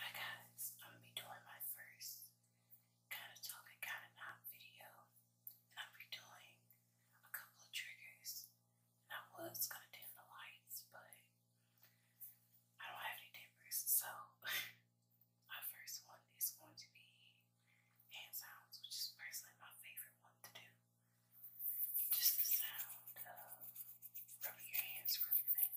Hi guys, I'm gonna be doing my first kind of talking, kind of not video, and I'll be a couple of triggers. And I was gonna dim the lights, but I don't have any dimmers, so my first one is going to be hand sounds, which is personally my favorite one to do. Just the sound of rubbing your hands from your face.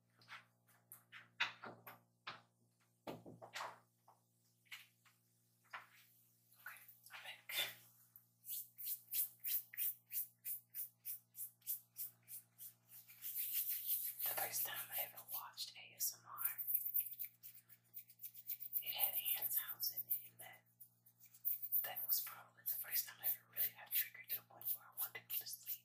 i back. The first time I ever watched ASMR, it had Anne's house in that that was probably the first time I ever really got triggered to the point where I wanted to sleep.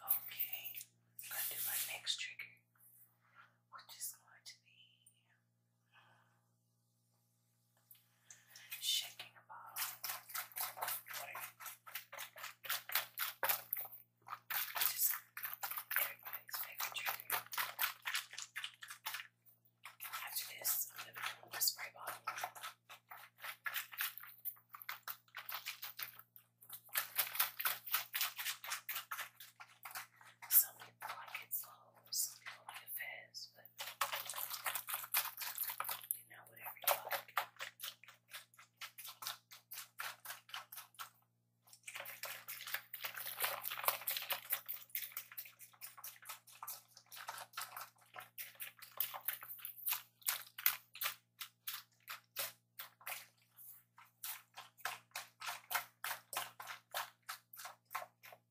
Okay, i do my next trigger, which is going to be Shaking a bottle. Just everybody's favorite trigger. After this, I'm gonna put the spray bottle. Some like it's a whole security affairs, but you know, whatever you like. Thank you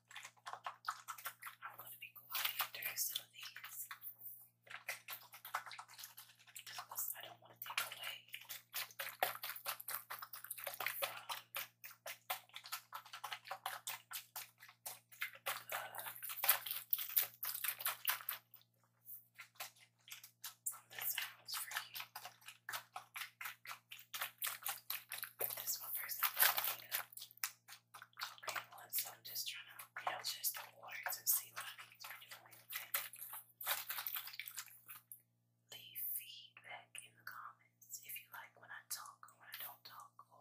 I'm going to be quiet during some of these because I don't want to take away from the, uh, from for you. This one first, I'm going to green one, so I'm just trying to, you just the water to see what I need doing, Leave feedback in the comments if you like when I talk when I don't talk or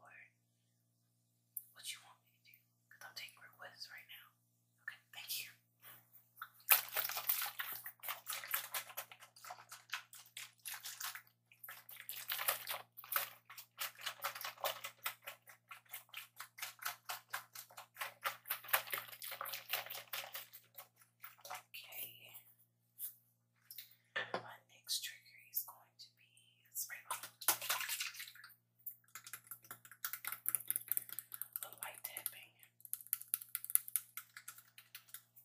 what you want me to do, because I'm taking requests right now. Okay, thank you. Okay. My next trigger is going to be a spray bottle. A light tapping.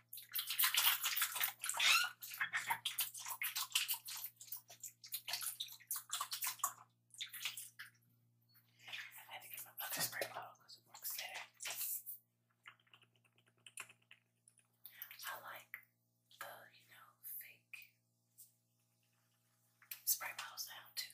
I had to get my bucket spray bottle because it works better. I like the, you know, fake spray bottle sound too.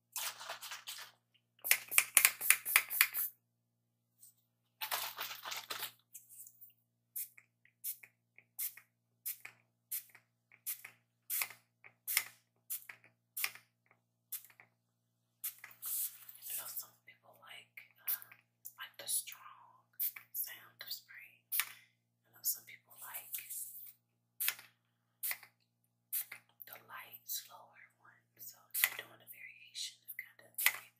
I know some people like uh, like the strong sound of spray. I know some people like the light, slower one. So I'm doing a variation of kind of everything.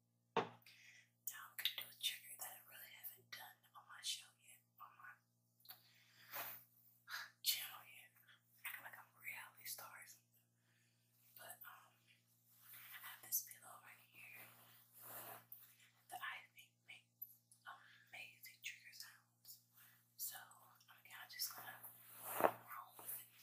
Now I'm gonna do a trigger that I really haven't done on my show yet, on my channel yet. Acting like a reality star But um I have this pillow right here that I think make amazing trigger sounds. So I'm just gonna roll with it.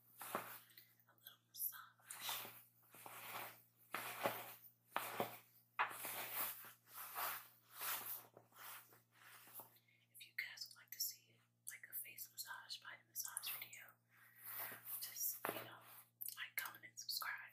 a little massage. If you guys would like to see like a face massage by the massage video, just you know, like, comment, and subscribe.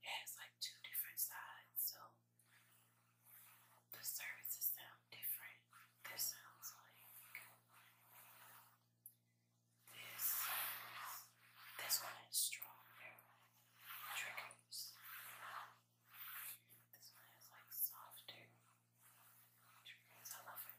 It has like two different sides, so the services sound different. This sounds like this. This one is strong, triggers. This one is like softer triggers. I love it.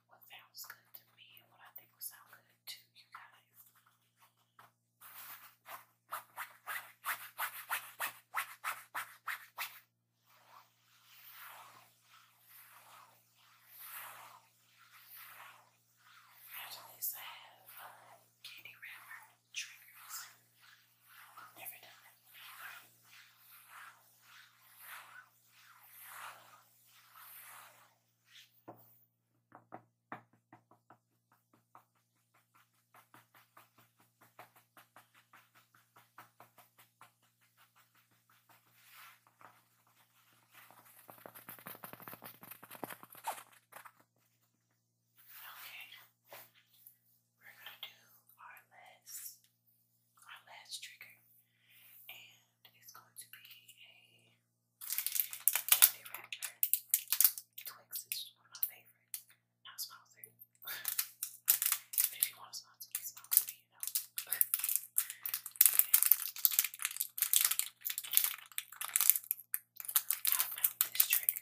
what sounds good to me and what I think will sound good to you guys. After I have uh, candy wrapper triggers. Never done that before. Okay, we're going to do our list our last trigger, and it's going to be a candy wrapper. Twix is one of my favorites. Not sponsored, but if you want to sponsor me, sponsor me, you know. yeah. I found this trigger on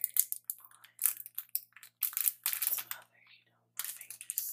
some other, you know, famous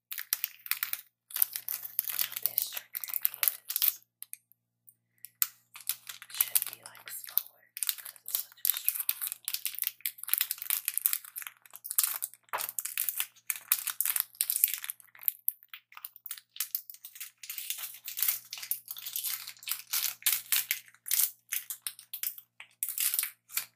This trigger is should be like slower because it's such a strong one. Okay,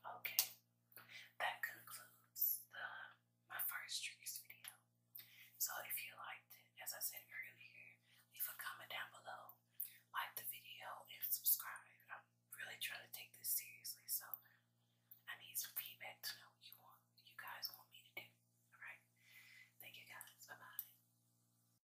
Okay, that concludes the my first triggers video. So if you liked it, as I said earlier, leave a comment down below, like the video, and subscribe. I'm really trying to take this seriously, so I need some feedback to know what you want, you guys want me to do. All right, thank you guys. Bye bye.